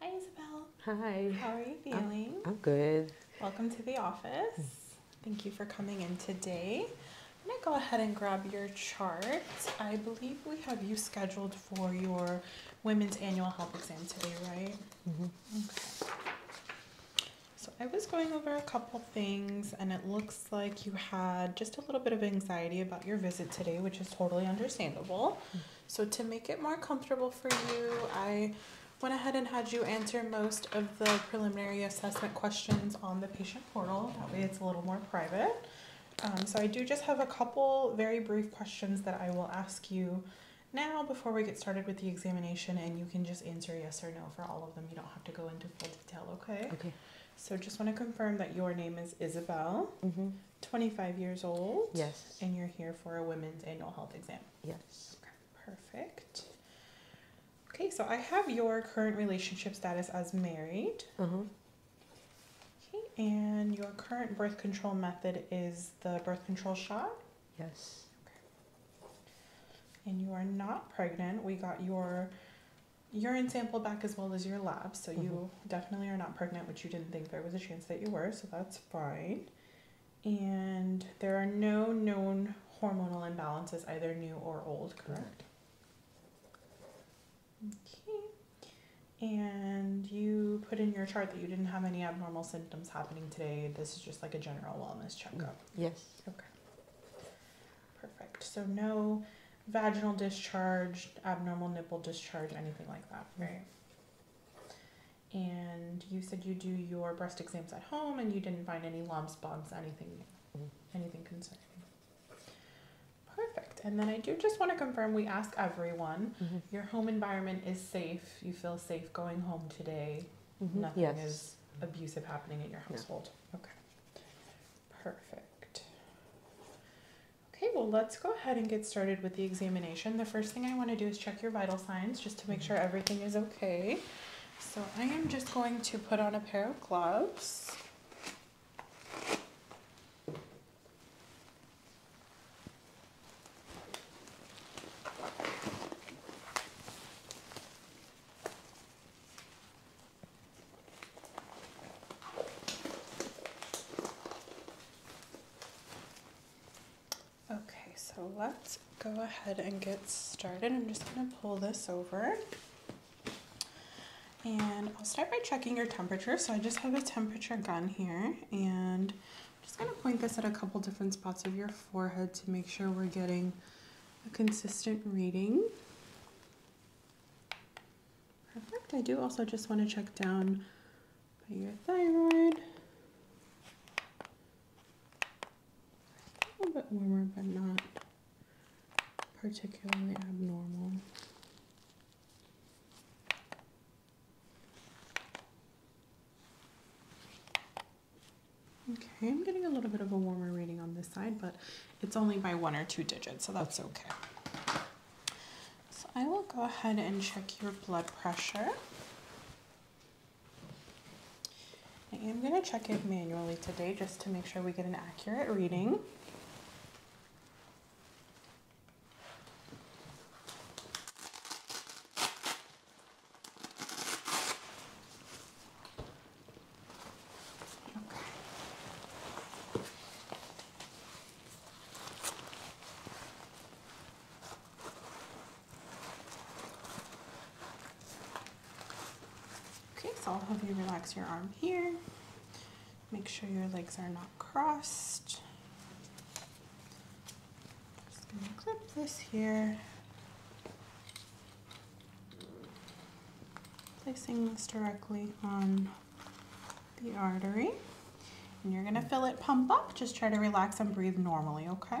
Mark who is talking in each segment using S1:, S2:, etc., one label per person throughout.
S1: Hi, Isabel. Hi. How are you feeling? I'm, good. Welcome to the office. Thank you for coming in today. I'm going to go ahead and grab your chart. I believe we have you scheduled for your women's annual health exam today, right? Mm -hmm. Okay. So I was going over a couple things, and it looks like you had just a little bit of anxiety about your visit today, which is totally understandable. Hmm. So, to make it more comfortable for you, I went ahead and had you answer most of the preliminary assessment questions on the patient portal. That way, it's a little more private. Um, so, I do just have a couple very brief questions that I will ask you now before we get started with the examination, and you can just answer yes or no for all of them. You don't have to go into full detail, okay? Okay. So just want to confirm that your name is Isabel, mm-hmm. 25 years old. Yes. And you're here for a women's annual health exam. Yes. perfect. Okay, so I have your current relationship status as married. Mm-hmm. Okay, and your current birth control method is the birth control shot? Yes. And you are not pregnant. We got your urine sample back as well as your lab. So you mm-hmm. definitely are not pregnant, which you didn't think there was a chance that you were, so that's fine. And there are no known hormonal imbalances, either new or old, correct? Okay. And you put in your chart that you didn't have any abnormal symptoms happening today. This is just like a general wellness checkup. Mm, yes. Okay. Perfect. So no vaginal discharge, abnormal nipple discharge, anything like that. Mm-hmm. Right. And you said you do your breast exams at home and you didn't find any lumps, bumps, anything mm-hmm. anything concerning. Perfect. And then I do just want to confirm we ask everyone mm-hmm. your home environment is safe. You feel safe going home today. Nothing is abusive happening in your household. Okay. Perfect. Okay, well, let's go ahead and get started with the examination. The first thing I want to do is check your vital signs just to make sure everything is okay. So I am just going to put on a pair of gloves. Okay, so let's go ahead and get started. I'm just gonna pull this over. And I'll start by checking your temperature. So I just have a temperature gun here and I'm just gonna point this at a couple different spots of your forehead to make sure we're getting a consistent reading. Perfect. I do also just want to check down by your thyroid. A little bit warmer, but not particularly abnormal. Okay, I'm getting a little bit of a warmer reading on this side, but it's only by one or two digits, so that's okay. So I will go ahead and check your blood pressure. I am going to check it manually today just to make sure we get an accurate reading. Okay, so I'll have you relax your arm here. Make sure your legs are not crossed. Just gonna clip this here placing this directly on the artery. And you're gonna feel it pump up. Just try to relax and breathe normally, okay?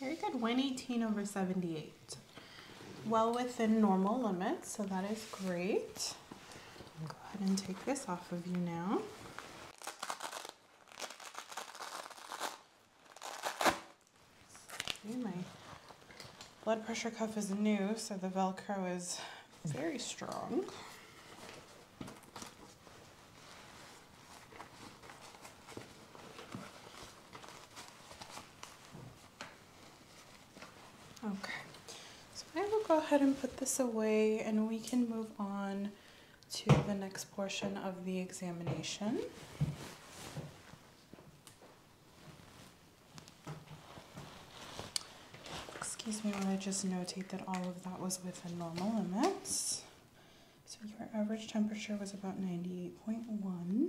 S1: Very good, 118 over 78. Well within normal limits, so that is great. go ahead and take this off of you now. my blood pressure cuff is new, so the Velcro is very strong. Okay, so I will go ahead and put this away and we can move on to the next portion of the examination. Excuse me while I just notate that all of that was within normal limits. So your average temperature was about 98.1.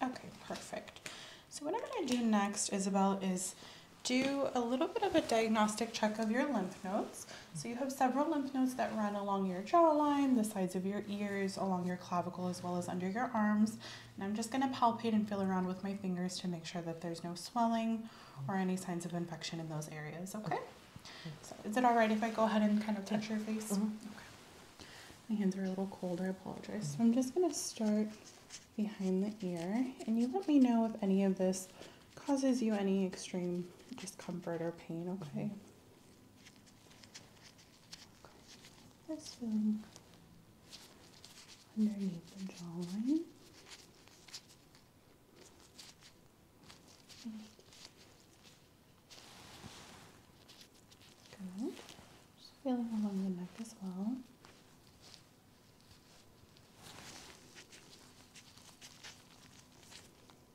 S1: Okay, perfect. So what I'm going to do next, Isabel, is do a little bit of a diagnostic check of your lymph nodes. So you have several lymph nodes that run along your jawline, the sides of your ears, along your clavicle, as well as under your arms. And I'm just gonna palpate and feel around with my fingers to make sure that there's no swelling or any signs of infection in those areas, okay? So is it all right if I go ahead and kind of touch your face? Mm-hmm. Okay. My hands are a little cold, I apologize. So I'm just gonna start behind the ear, and you let me know if any of this causes you any extreme discomfort or pain, okay? Mm-hmm. Okay. This underneath the jawline. Good. Just feeling along the neck as well.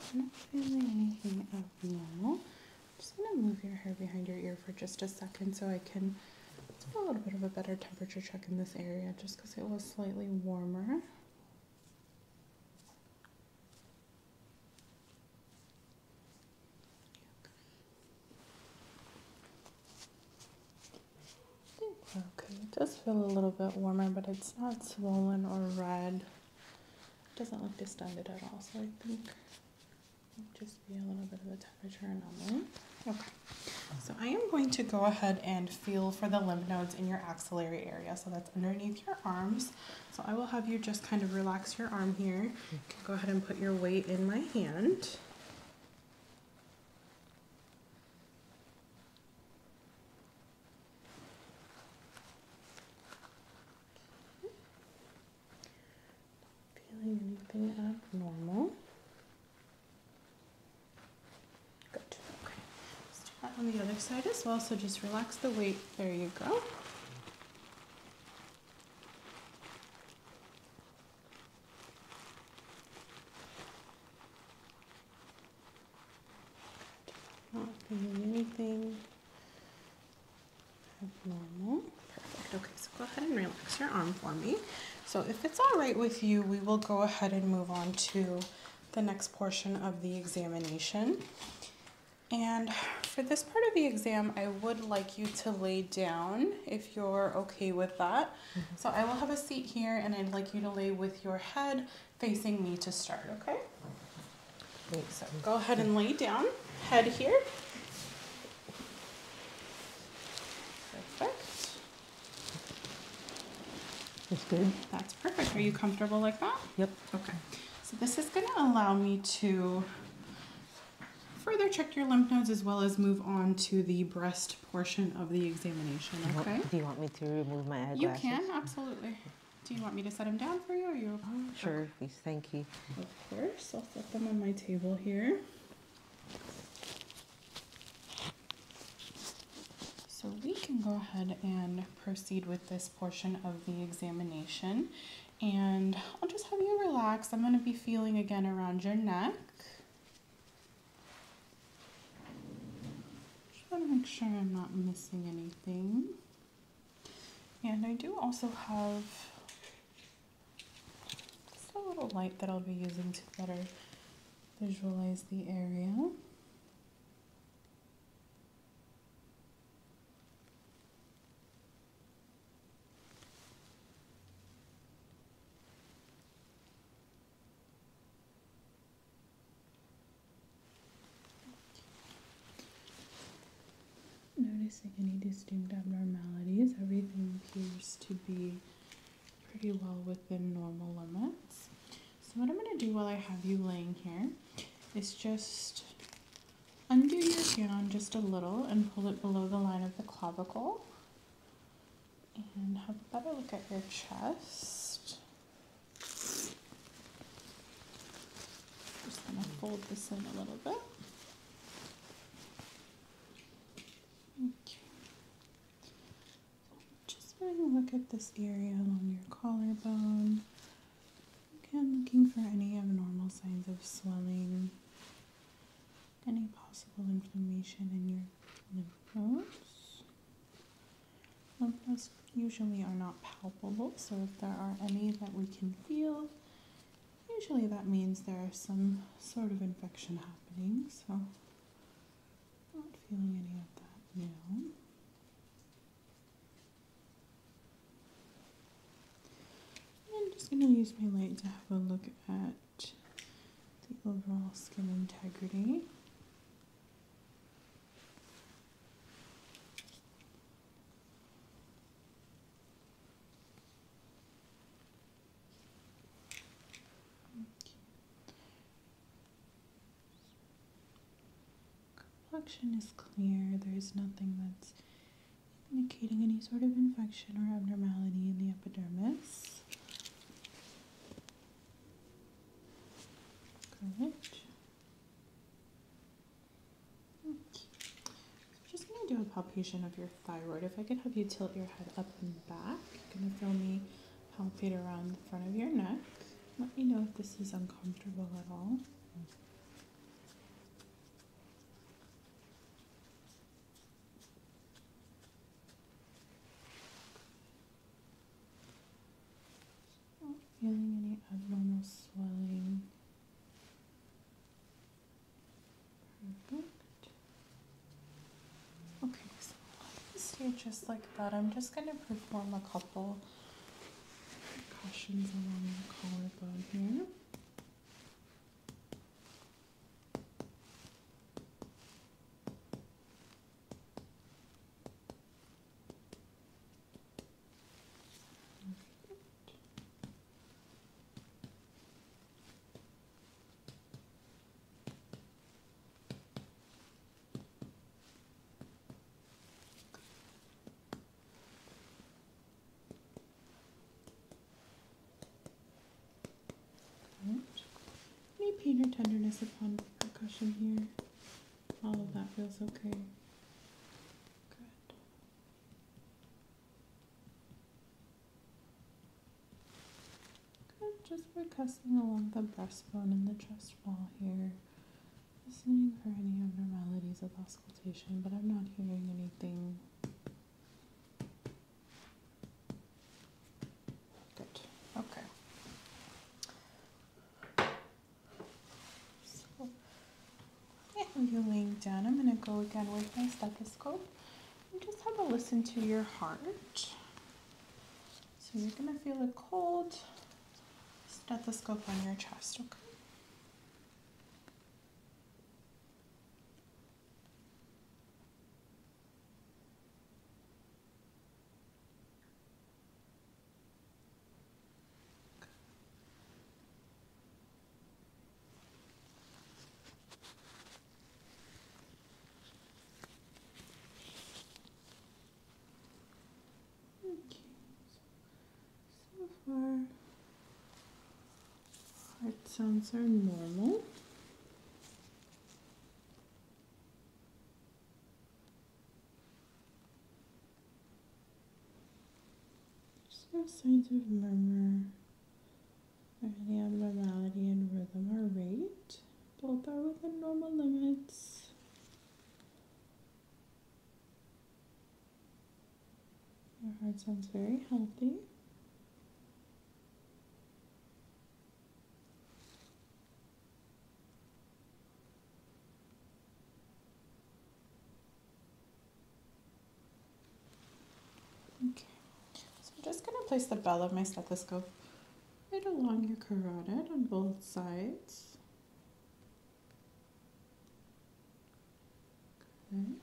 S1: So not feeling anything abnormal. I'm just gonna move your hair behind your ear for just a second so I can do a little bit of a better temperature check in this area just because it was slightly warmer. Okay, it does feel a little bit warmer, but it's not swollen or red doesn't look distended at all, so I think just be a little bit of a temperature anomaly. Okay, so I am going to go ahead and feel for the lymph nodes in your axillary area, so that's underneath your arms. So I will have you just kind of relax your arm here. Go ahead and put your weight in my hand feeling anything abnormal. Good. Okay. Let's do that on the other side as well. So just relax the weight. There you go. Not feeling anything Perfect. Okay, so go ahead and relax your arm for me. So if it's all right with you, we will go ahead and move on to the next portion of the examination. And for this part of the exam, I would like you to lay down if you're okay with that. Mm-hmm. So I will have a seat here and I'd like you to lay with your head facing me to start, okay? go ahead and lay down, head here. Perfect. That's good. That's perfect. Are you comfortable like that? Yep. Okay. So this is going to allow me to further check your lymph nodes as well as move on to the breast portion of the examination, okay? Do you want me to remove my eyeglasses? You can, absolutely. Do you want me to set them down for you, or you? Oh, sure, okay. please. Thank you. Of course, I'll set them on my table here. So we can go ahead and proceed with this portion of the examination, and I'll just have you relax. I'm going to be feeling again around your neck. Just to make sure I'm not missing anything. And I do also have just a little light that I'll be using to better visualize the area. Noticing any distinct abnormalities, everything appears to be pretty well within normal limits. So, what I'm going to do while I have you laying here is just undo your gown just a little and pull it below the line of the clavicle and have a better look at your chest. Just going to fold this in a little bit. Okay. Just having look at this area along your collarbone. Again, looking for any abnormal signs of swelling, any possible inflammation in your lymph nodes. Lumps usually are not palpable, so if there are any that we can feel, usually that means there is some sort of infection happening, so not feeling any of that now. I'm just going to use my light to have a look at the overall skin integrity. Complexion is clear. There is nothing that's indicating any sort of infection or abnormality in the epidermis. I'm just going to do a palpation of your thyroid. If I could have you tilt your head up and back, you're going to feel me palpate around the front of your neck. Let me know if this is uncomfortable at all. Not feeling any abnormal swelling. Perfect. Okay, so I'll stay just like that. I'm just going to perform a couple percussions along the collarbone here. Any pain or tenderness upon percussion here? All of that feels okay. Good. Good. Just percussing along the breastbone and the chest wall here. Listening for any abnormalities of auscultation, but I'm not hearing anything. Good. Okay. So what I'm doing done, I'm going to go again with my stethoscope and just have a listen to your heart. So you're going to feel a cold stethoscope on your chest, okay? Okay, so, so far heart sounds are normal. There's no signs of murmur or any abnormality in rhythm or rate. Both are within normal limits. Your heart sounds very healthy. Okay, so I'm just going to place the bell of my stethoscope right along your carotid on both sides. Good.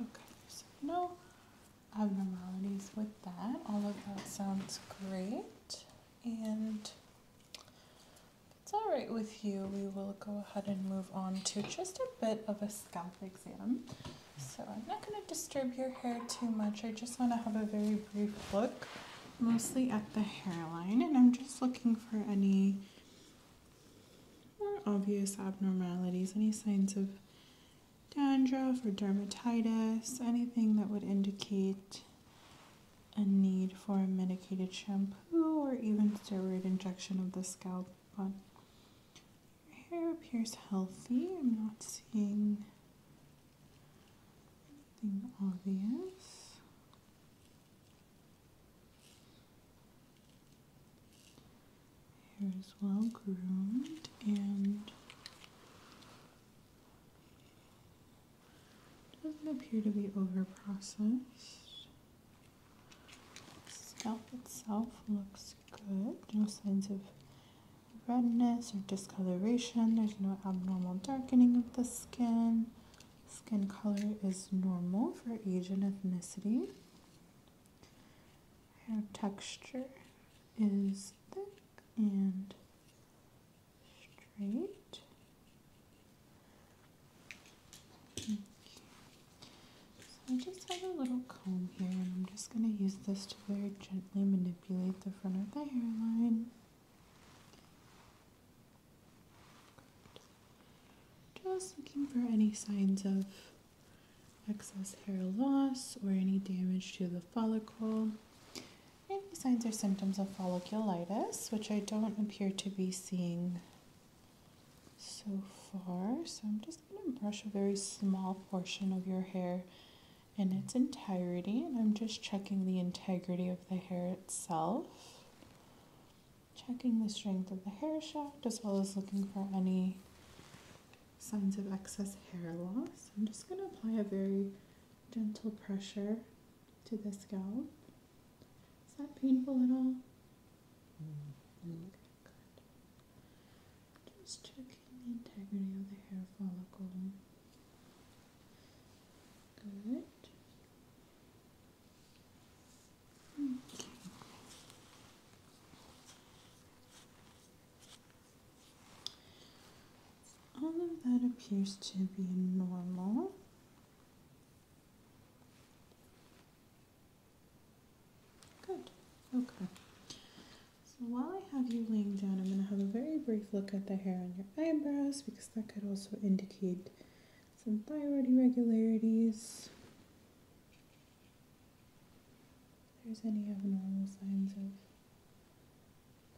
S1: Okay, so no abnormalities with that. All of that sounds great. And it's all right with you. We will go ahead and move on to just a bit of a scalp exam. So I'm not going to disturb your hair too much. I just want to have a very brief look, mostly at the hairline, and I'm just looking for any more obvious abnormalities, any signs of dandruff or dermatitis, anything that would indicate a need for a medicated shampoo or even steroid injection of the scalp. But your hair appears healthy. I'm not seeing anything obvious. Hair is well groomed and doesn't appear to be over processed. Scalp itself looks good, no signs of redness or discoloration, there's no abnormal darkening of the skin. Skin color is normal for age and ethnicity. Hair texture is thick and straight. So I just have a little comb here and I'm just going to use this to very gently manipulate the front of the hairline. Just looking for any signs of excess hair loss or any damage to the follicle. Any signs or symptoms of folliculitis, which I don't appear to be seeing so far. So I'm just going to brush a very small portion of your hair in its entirety, and I'm just checking the integrity of the hair itself checking the strength of the hair shaft as well as looking for any signs of excess hair loss. I'm just going to apply a very gentle pressure to the scalp. Is that painful at all? Mm-hmm. just checking the integrity of the hair follicle. Good. All of that appears to be normal. Good. Okay. So while I have you laying down, I'm going to have a very brief look at the hair on your eyebrows because that could also indicate some thyroid irregularities. there's any abnormal signs of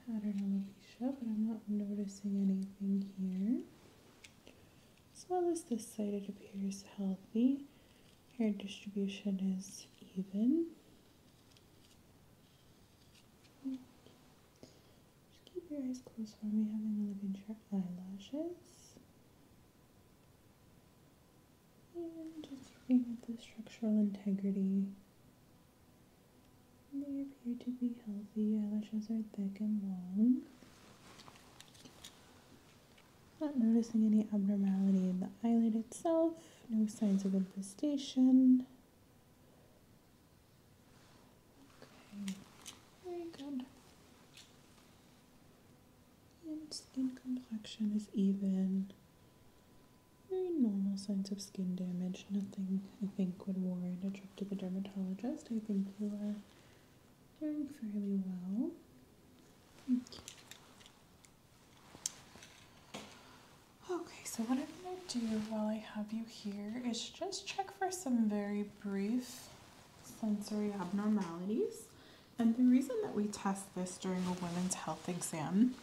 S1: pattern alopecia, but I'm not noticing anything here. As well as this side, it appears healthy. Hair distribution is even. Just keep your eyes closed for me, having a look at your eyelashes. And just looking at the structural integrity. They appear to be healthy. Eyelashes are thick and long. Not noticing any abnormality in the eyelid itself. No signs of infestation. Okay, very good. And skin complexion is even. Very normal signs of skin damage. Nothing I think would warrant a trip to the dermatologist. I think you are doing fairly well. Okay, so what I'm going to do while I have you here is just check for some very brief sensory abnormalities. And the reason that we test this during a women's health exam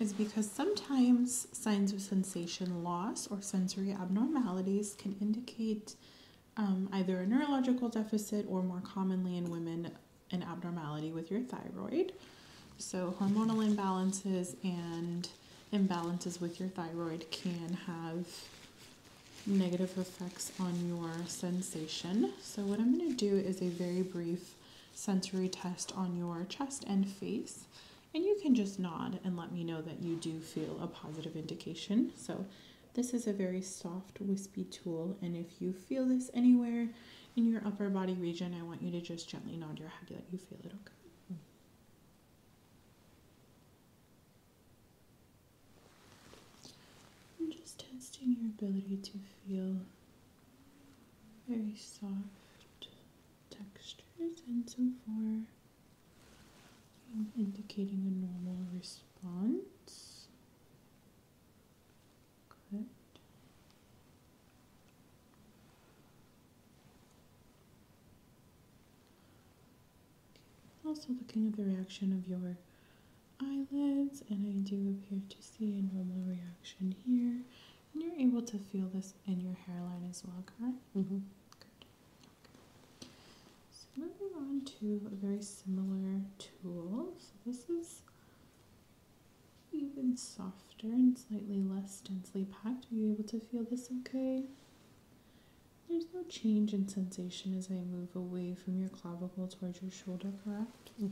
S1: is because sometimes signs of sensation loss or sensory abnormalities can indicate um, either a neurological deficit or more commonly in women, an abnormality with your thyroid. So, hormonal imbalances and imbalances with your thyroid can have negative effects on your sensation. So what I'm going to do is a very brief sensory test on your chest and face. And you can just nod and let me know that you do feel a positive indication. So this is a very soft, wispy tool. And if you feel this anywhere in your upper body region, I want you to just gently nod your head that you feel it, okay? I'm just testing your ability to feel very soft textures and so forth. indicating a normal response. Good. Also looking at the reaction of your eyelids, and I do appear to see a normal reaction here. And you're able to feel this in your hairline as well, correct? Mm-hmm. Good. Okay. So moving on to a very similar tool. So this is even softer and slightly less densely packed. Are you able to feel this okay? There's no change in sensation as I move away from your clavicle towards your shoulder, correct? Mm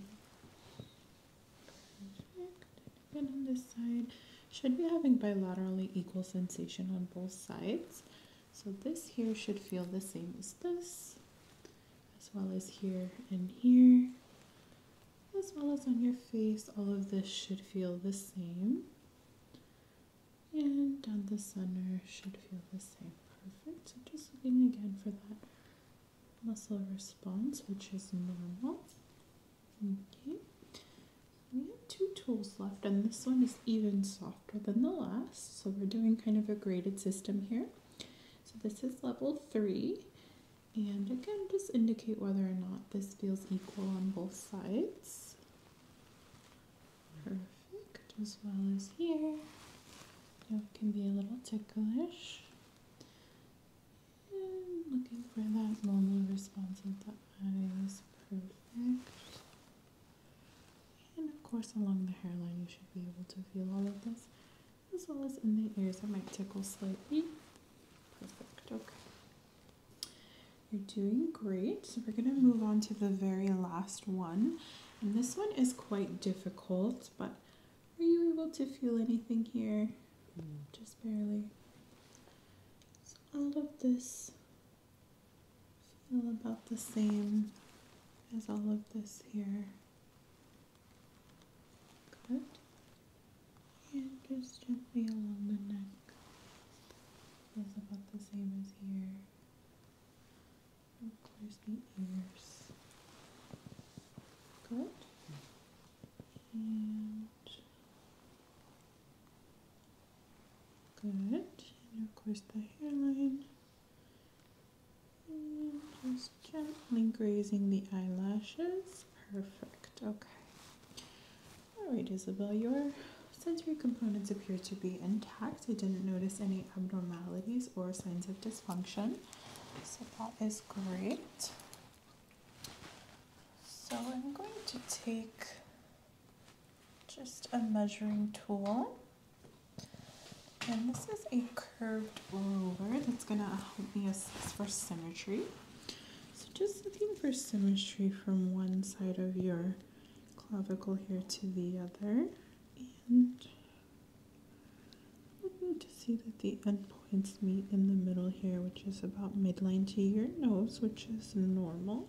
S1: on this side. Should be having bilaterally equal sensation on both sides. So this here should feel the same as this, as well as here and here, as well as on your face. All of this should feel the same and down the center should feel the same. Perfect. So just looking again for that muscle response, which is normal. Okay. We have two tools left, and this one is even softer than the last. So we're doing kind of a graded system here. So this is level three. And again, just indicate whether or not this feels equal on both sides. Perfect, as well as here. It can be a little ticklish. looking for that normal response of the is Perfect. And of course, along the hairline, you should be able to feel all of this, as well as in the ears. It might tickle slightly. Perfect, okay. You're doing great. So we're going to move on to the very last one. And this one is quite difficult, but are you able to feel anything here? Hmm. Just barely. So all of this feel about the same as all of this here. Good. And just gently along the neck is about the same as here. Close the ears. Good. And good. And of course, the hairline. And just gently grazing the eyelashes. Perfect. Okay. All right, Isabel, your sensory components appear to be intact. I didn't notice any abnormalities or signs of dysfunction, so that is great. So I'm going to take just a measuring tool. And this is a curved ruler that's gonna help me assess for symmetry. So just looking for symmetry from one side of your clavicle here to the other and looking to see that the end points meet in the middle here which is about midline to your nose which is normal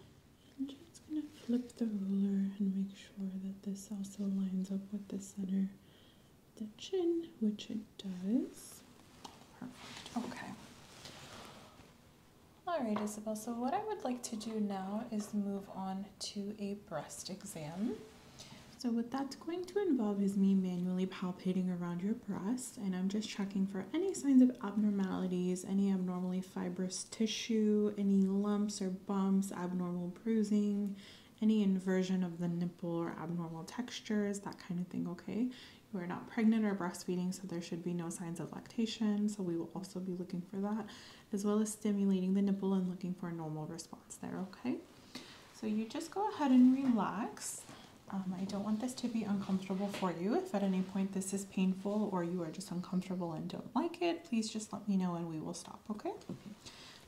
S1: I'm just going to flip the ruler and make sure that this also lines up with the center of the chin which it does perfect okay Alright Isabel, so what I would like to do now is move on to a breast exam. So what that's going to involve is me manually palpating around your breast and I'm just checking for any signs of abnormalities, any abnormally fibrous tissue, any lumps or bumps, abnormal bruising, any inversion of the nipple or abnormal textures, that kind of thing, okay? We're not pregnant or breastfeeding, so there should be no signs of lactation. So we will also be looking for that, as well as stimulating the nipple and looking for a normal response there, okay? So you just go ahead and relax. Um, I don't want this to be uncomfortable for you. If at any point this is painful or you are just uncomfortable and don't like it, please just let me know and we will stop, okay?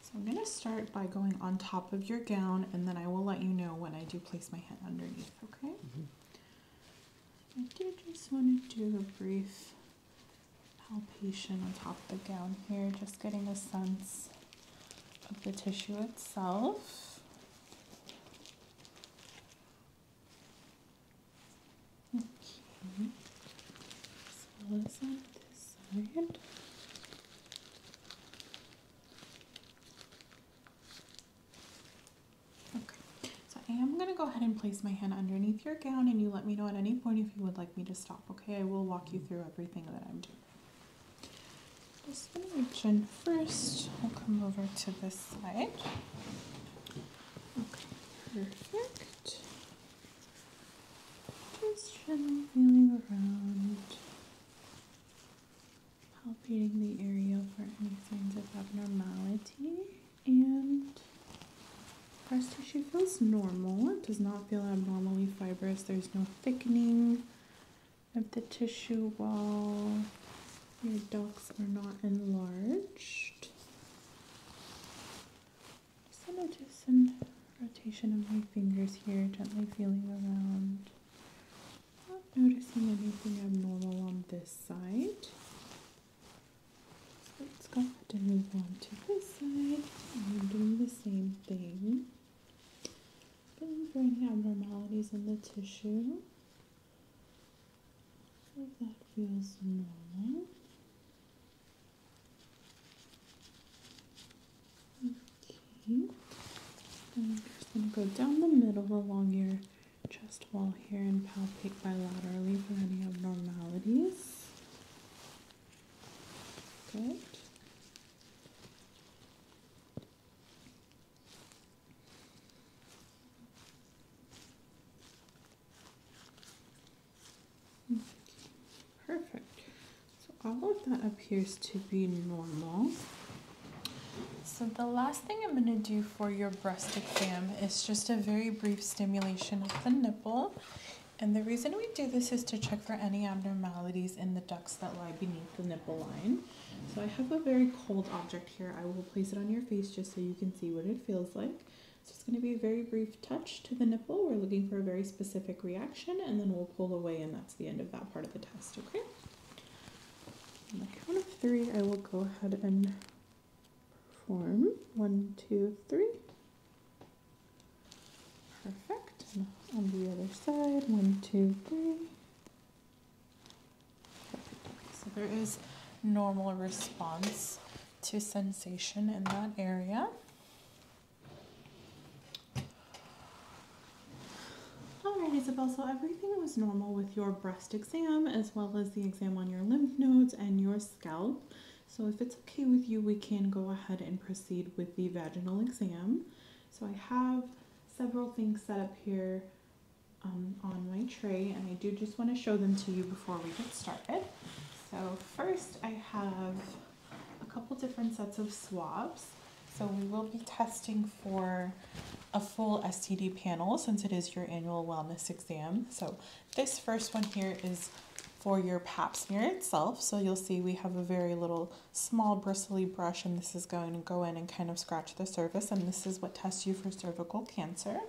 S1: So I'm gonna start by going on top of your gown and then I will let you know when I do place my hand underneath, okay? Mm-hmm. I do just want to do a brief palpation on top of the gown here, just getting a sense of the tissue itself. Okay, as well as on this side. Okay, so I am going to go ahead and place my hand underneath your gown, and you let me know at any point if you would like me to stop, okay? I will walk you through everything that I'm doing. Just going to reach in first. I'll come over to this side. perfect. Just gently feeling around palpating the area for any signs of abnormality. And breast tissue feels normal. It does not feel abnormally fibrous. There's no thickening of the tissue wall. Your ducts are not enlarged. Just gonna do some rotation of my fingers here, gently feeling around not noticing anything abnormal on this side. So let's go ahead and move on to this side. I'm doing the same thing. Looking for any abnormalities in the tissue. If that feels normal. Okay. And I'm just going to go down the middle along your chest wall here and palpate bilaterally for any abnormalities. Good. Perfect. So all of that appears to be normal. So the last thing I'm going to do for your breast exam is just a very brief stimulation of the nipple. And the reason we do this is to check for any abnormalities in the ducts that lie beneath the nipple line. So I have a very cold object here. I will place it on your face just so you can see what it feels like. So it's going to be a very brief touch to the nipple. We're looking for a very specific reaction and then we'll pull away and that's the end of that part of the test, okay? On the count of three, I will go ahead and form. One, two, three. Perfect. on the other side, one, two, three. So there is normal response to sensation in that area. All right, Isabel, so everything was normal with your breath exam as well as the exam on your lymph nodes and your scalp. So if it's okay with you, we can go ahead and proceed with the vaginal exam. So I have several things set up here um, on my tray and I do just want to show them to you before we get started. So first I have a couple different sets of swabs. So we will be testing for a full STD panel since it is your annual wellness exam. So this first one here is for your pap smear itself. So you'll see we have a very little small bristly brush and this is going to go in and kind of scratch the surface and this is what tests you for cervical cancer.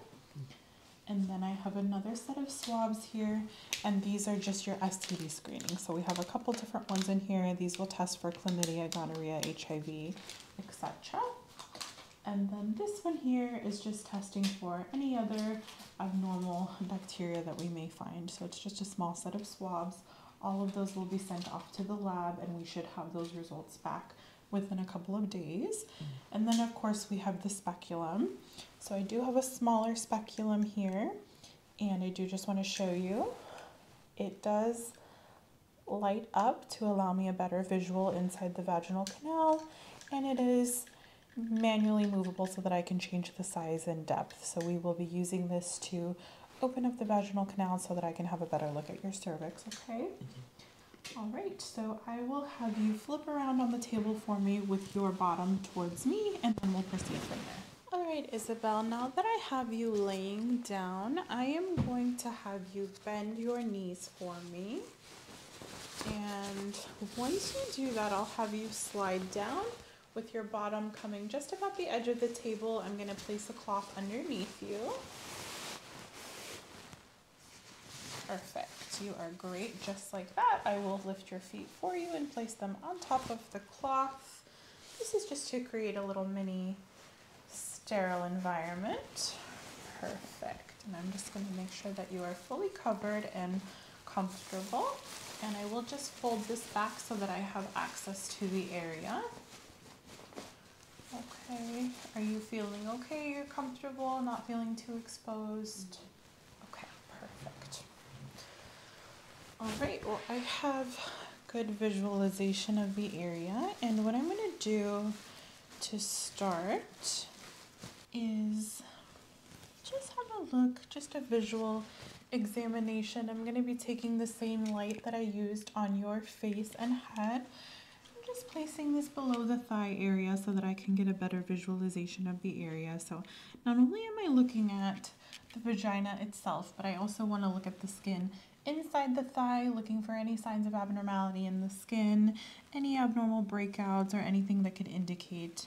S1: And then I have another set of swabs here, and these are just your STD screening. So we have a couple different ones in here. These will test for chlamydia, gonorrhea, HIV, etc. And then this one here is just testing for any other abnormal bacteria that we may find. So it's just a small set of swabs. All of those will be sent off to the lab and we should have those results back within a couple of days. Mm. And then of course we have the speculum. So I do have a smaller speculum here and I do just want to show you. It does light up to allow me a better visual inside the vaginal canal and it is manually movable so that I can change the size and depth. So we will be using this to open up the vaginal canal so that I can have a better look at your cervix, okay? All right, so I will have you flip around on the table for me with your bottom towards me and then we'll proceed from there. All right, Isabel, now that I have you laying down, I am going to have you bend your knees for me. And once you do that, I'll have you slide down with your bottom coming just about the edge of the table. I'm gonna place a cloth underneath you. Perfect, you are great just like that. I will lift your feet for you and place them on top of the cloth. This is just to create a little mini sterile environment. Perfect. And I'm just going to make sure that you are fully covered and comfortable. And I will just fold this back so that I have access to the area. Okay, are you feeling okay? You're comfortable, not feeling too exposed? Okay, perfect. All right, well, I have good visualization of the area. And what I'm gonna do to start is just have a look, just a visual examination. I'm going to be taking the same light that I used on your face and head. I'm just placing this below the thigh area so that I can get a better visualization of the area. So not only am I looking at the vagina itself, but I also want to look at the skin inside the thigh, looking for any signs of abnormality in the skin, any abnormal breakouts, or anything that could indicate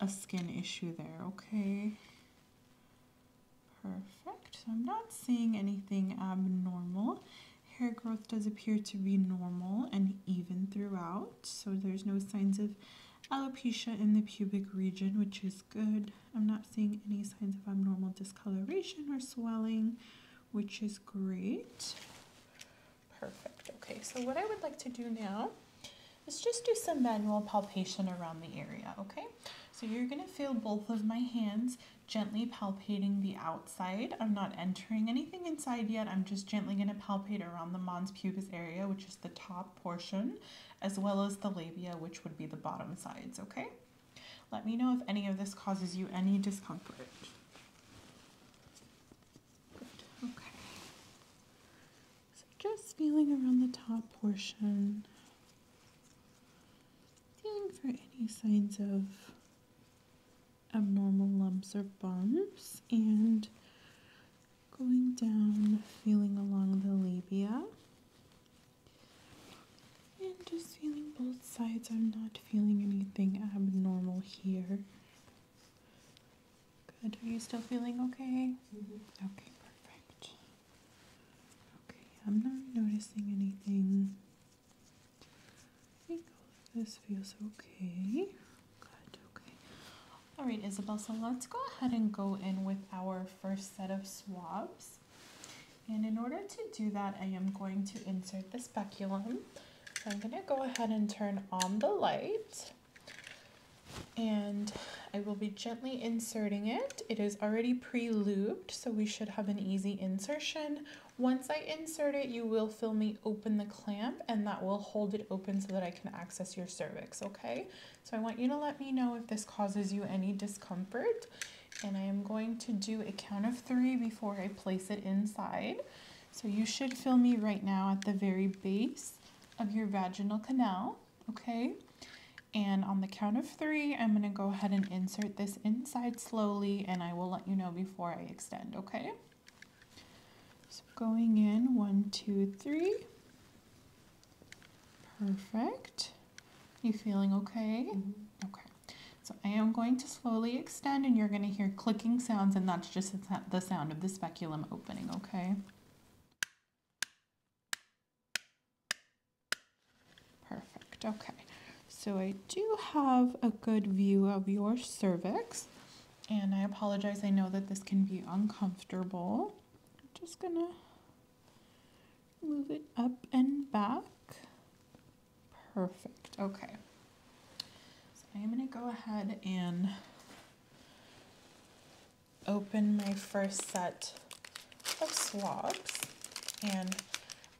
S1: a skin issue there. Okay. Perfect. So I'm not seeing anything abnormal. Hair growth does appear to be normal and even throughout, so there's no signs of alopecia in the pubic region, which is good. I'm not seeing any signs of abnormal discoloration or swelling which is great. Perfect. Okay, so what I would like to do now is just do some manual palpation around the area, okay? So you're gonna feel both of my hands gently palpating the outside. I'm not entering anything inside yet. I'm just gently gonna palpate around the mons pubis area, which is the top portion, as well as the labia, which would be the bottom sides, okay? Let me know if any of this causes you any discomfort. okay. just feeling around the top portion. Feeling for any signs of abnormal lumps or bumps and going down, feeling along the labia. And just feeling both sides. I'm not feeling anything abnormal here. Good. Are you still feeling okay? Mm-hmm. Okay, perfect. Okay, I'm not noticing anything. this feels okay. Good, okay. All right, Isabel, so let's go ahead and go in with our first set of swabs. And in order to do that, I am going to insert the speculum. So I'm gonna go ahead and turn on the light and I will be gently inserting it. It is already pre-looped, so we should have an easy insertion. Once I insert it, you will feel me open the clamp and that will hold it open so that I can access your cervix, okay? So I want you to let me know if this causes you any discomfort and I am going to do a count of three before I place it inside. So you should feel me right now at the very base of your vaginal canal, okay? And on the count of three, I'm gonna go ahead and insert this inside slowly and I will let you know before I extend, okay? So going in, one, two, three. Perfect. You feeling okay? Mm-hmm. Okay. So I am going to slowly extend and you're going to hear clicking sounds and that's just the sound of the speculum opening, okay? Perfect, okay. So I do have a good view of your cervix and I apologize, I know that this can be uncomfortable. I'm just gonna move it up and back. Perfect. Okay. So I'm going to go ahead and open my first set of swabs. And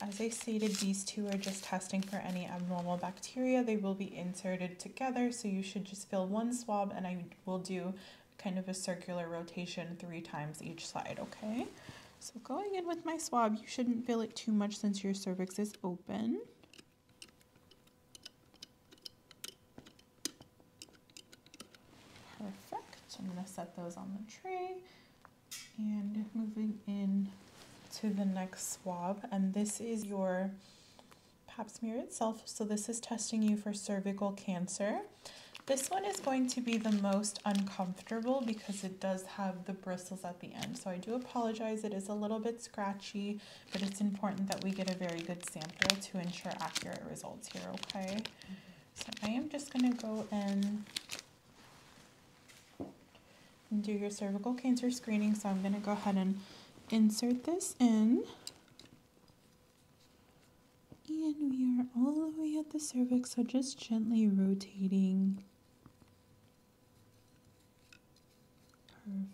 S1: as I stated, these two are just testing for any abnormal bacteria. They will be inserted together, so you should just fill one swab and I will do kind of a circular rotation three times each side, okay? So going in with my swab, you shouldn't feel it too much since your cervix is open. Perfect. I'm going to set those on the tray and moving in to the next swab. And this is your pap smear itself. So this is testing you for cervical cancer. This one is going to be the most uncomfortable because it does have the bristles at the end. So I do apologize, it is a little bit scratchy, but it's important that we get a very good sample to ensure accurate results here, okay? So I am just gonna go and do your cervical cancer screening. So I'm gonna go ahead and insert this in. And we are all the way at the cervix, so just just gently rotating.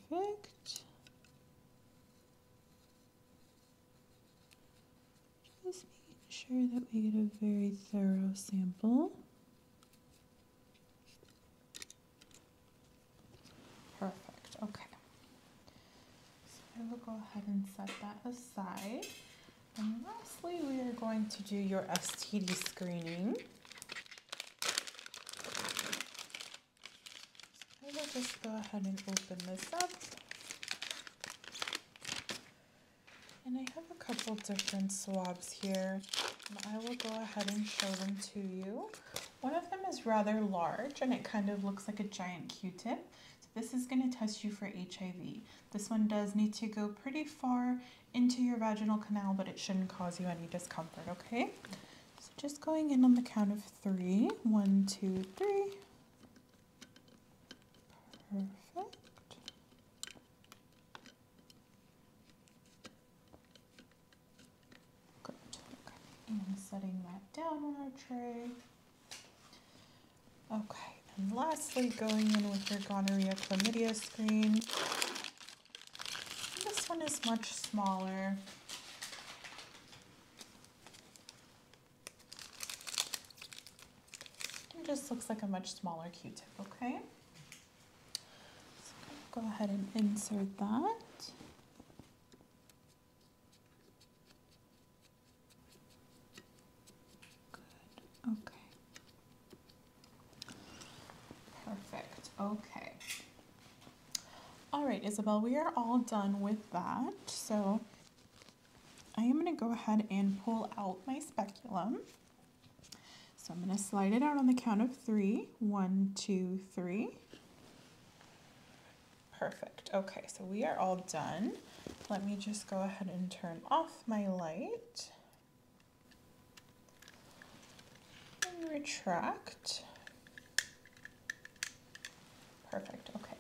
S1: Perfect. Just making sure that we get a very thorough sample. Perfect, okay. So I will go ahead and set that aside. And lastly, we are going to do your STD screening. I will just go ahead and open this up. And I have a couple different swabs here. I will go ahead and show them to you. One of them is rather large and it kind of looks like a giant Q-tip. this is going to test you for HIV. This one does need to go pretty far into your vaginal canal, but it shouldn't cause you any discomfort, okay? So just going in on the count of three: one, two, three. Perfect. And setting that down on our tray. Okay, and lastly, going in with your gonorrhea chlamydia screen. This one is much smaller. It just looks like a much smaller Q-tip, okay? go ahead and insert that. Good. Okay. Perfect. Okay. All right, Isabel, we are all done with that. So I am going to go ahead and pull out my speculum. So I'm going to slide it out on the count of three. One, two, three. Perfect. Okay, so we are all done. Let me just go ahead and turn off my light. And retract. Perfect, okay.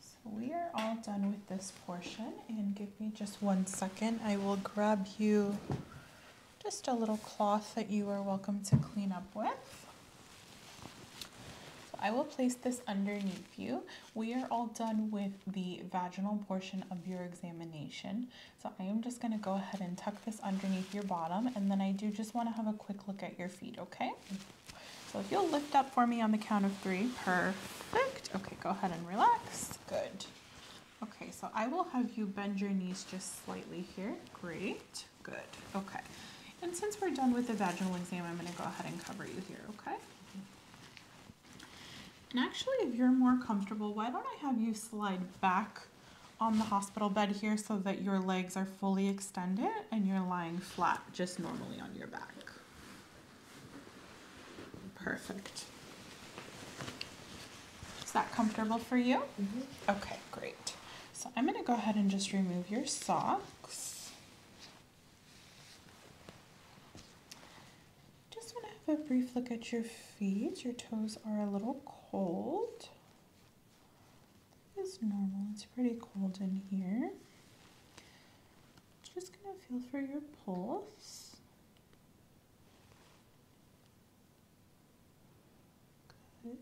S1: So we are all done with this portion and give me just one second. I will grab you just a little cloth that you are welcome to clean up with. I will place this underneath you we are all done with the vaginal portion of your examination. So I am just going to go ahead and tuck this underneath your bottom and then I do just want to have a quick look at your feet, okay? So if you'll lift up for me on the count of three, perfect. Okay, go ahead and relax. Good. Okay, so I will have you bend your knees just slightly here. Great. Good. Okay. And since we're done with the vaginal exam, I'm going to go ahead and cover you here, okay? And actually, if you're more comfortable, why don't I have you slide back on the hospital bed here so that your legs are fully extended and you're lying flat just normally on your back. Perfect. Is that comfortable for you? Mm-hmm. Okay, great. So I'm gonna go ahead and just remove your socks. Just want to have a brief look at your feet. Your toes are a little cold. It's normal. It's pretty cold in here. Just going to feel for your pulse. Good.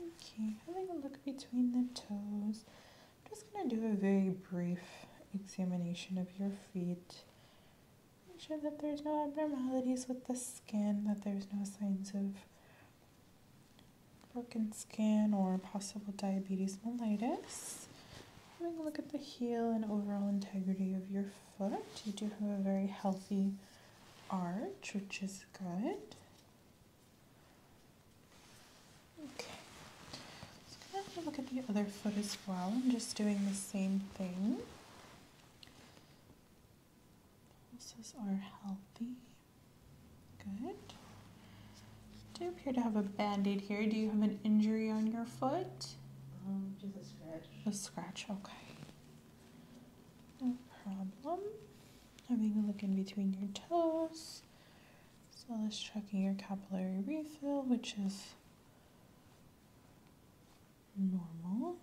S1: Okay. okay, having a look between the toes. I'm just going to do a very brief examination of your feet. Make sure that there's no abnormalities with the skin, that there's no signs of broken skin or possible diabetes mellitus. Having a look at the heel and overall integrity of your foot, you do have a very healthy arch, which is good. Okay, just going have a look at the other foot as well. I'm just doing the same thing. Pulses are healthy. Good. I do appear to have a band-aid here. Do you have an injury on your foot? Um, just a scratch. A scratch, okay. No problem. Having a look in between your toes. So let's check your capillary refill, which is normal.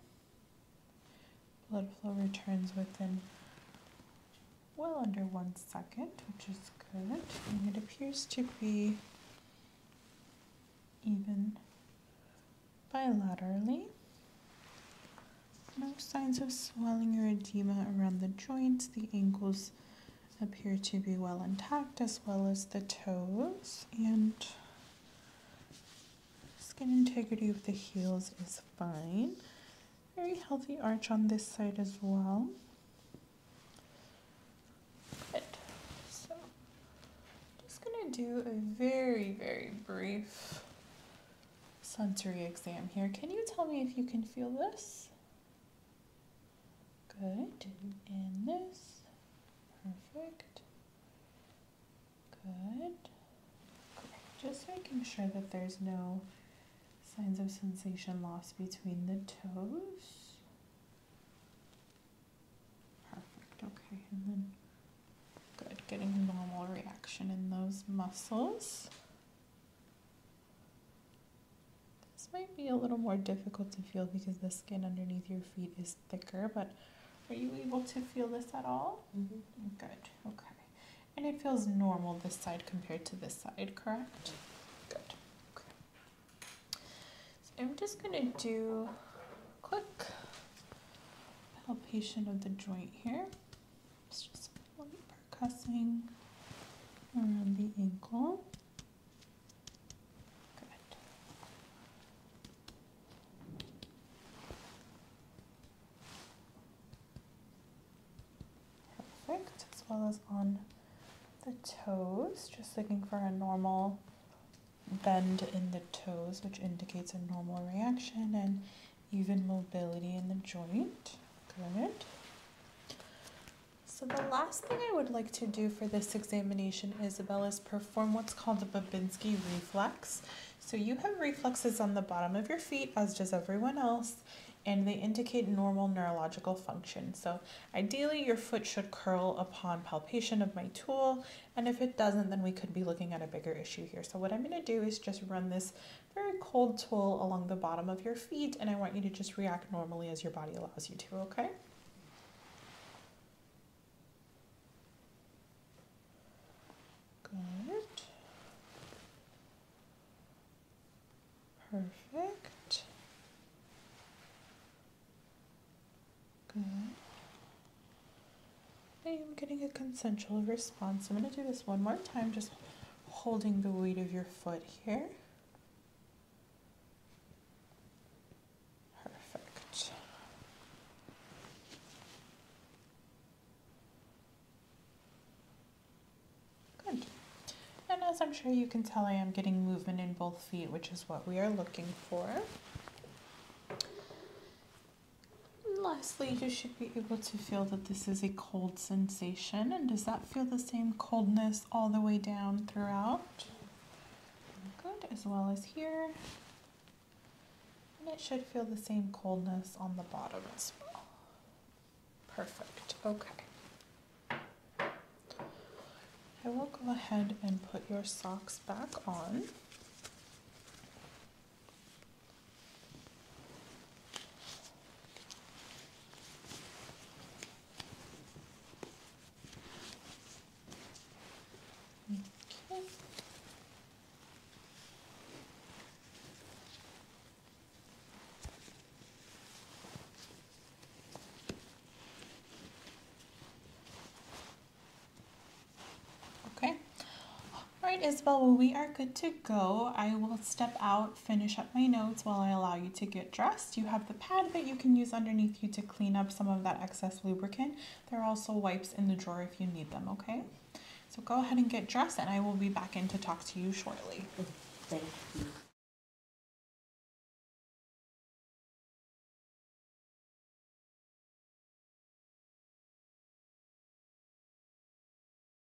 S1: Blood flow returns within well under one second, which is good. And it appears to be even bilaterally. No signs of swelling or edema around the joints, the ankles, appear to be well intact as well as the toes and skin integrity of the heels is fine. Very healthy arch on this side as well. Good. So just gonna do a very, very brief sensory exam here. Can you tell me if you can feel this? Good. in this. Perfect. Good. Just making sure that there's no signs of sensation loss between the toes. Perfect. Okay. And then good. Getting normal reaction in those muscles. This might be a little more difficult to feel because the skin underneath your feet is thicker, but are you able to feel this at all? Mm-hmm. Good, okay. And it feels normal this side compared to this side, correct? Good, okay. So I'm just gonna do a quick palpation of the joint here just a little percussing around the ankle. Good. Perfect, as well as on the toes, just looking for a normal bend in the toes, which indicates a normal reaction and even mobility in the joint. Good. So the last thing I would like to do for this examination, Isabel, is perform what's called the Babinski reflex. So you have reflexes on the bottom of your feet, as does everyone else, and they indicate normal neurological function. So ideally, your foot should curl upon palpation of my tool, and if it doesn't, then we could be looking at a bigger issue here. So what I'm gonna do is just run this very cold tool along the bottom of your feet, and I want you to just react normally as your body allows you to, okay? Good. Perfect. Good. Okay, I'm getting a consensual response. I'm going to do this one more time. Just holding the weight of your foot here. Perfect. Good. And as I'm sure you can tell, I am getting movement in both feet, which is what we are looking for. And lastly, just be able to feel that this is a cold sensation. And does that feel the same coldness all the way down throughout? Good, as well as here. And it should feel the same coldness on the bottom as well. Perfect, okay. I will go ahead and put your socks back on. Okay. Okay. All right, Isabel, we are good to go. I will step out finish up my notes while I allow you to get dressed. You have the pad that you can use underneath you to clean up some of that excess lubricant. There are also wipes in the drawer if you need them, okay? So go ahead and get dressed and I will be back in to talk to you shortly. Thank you.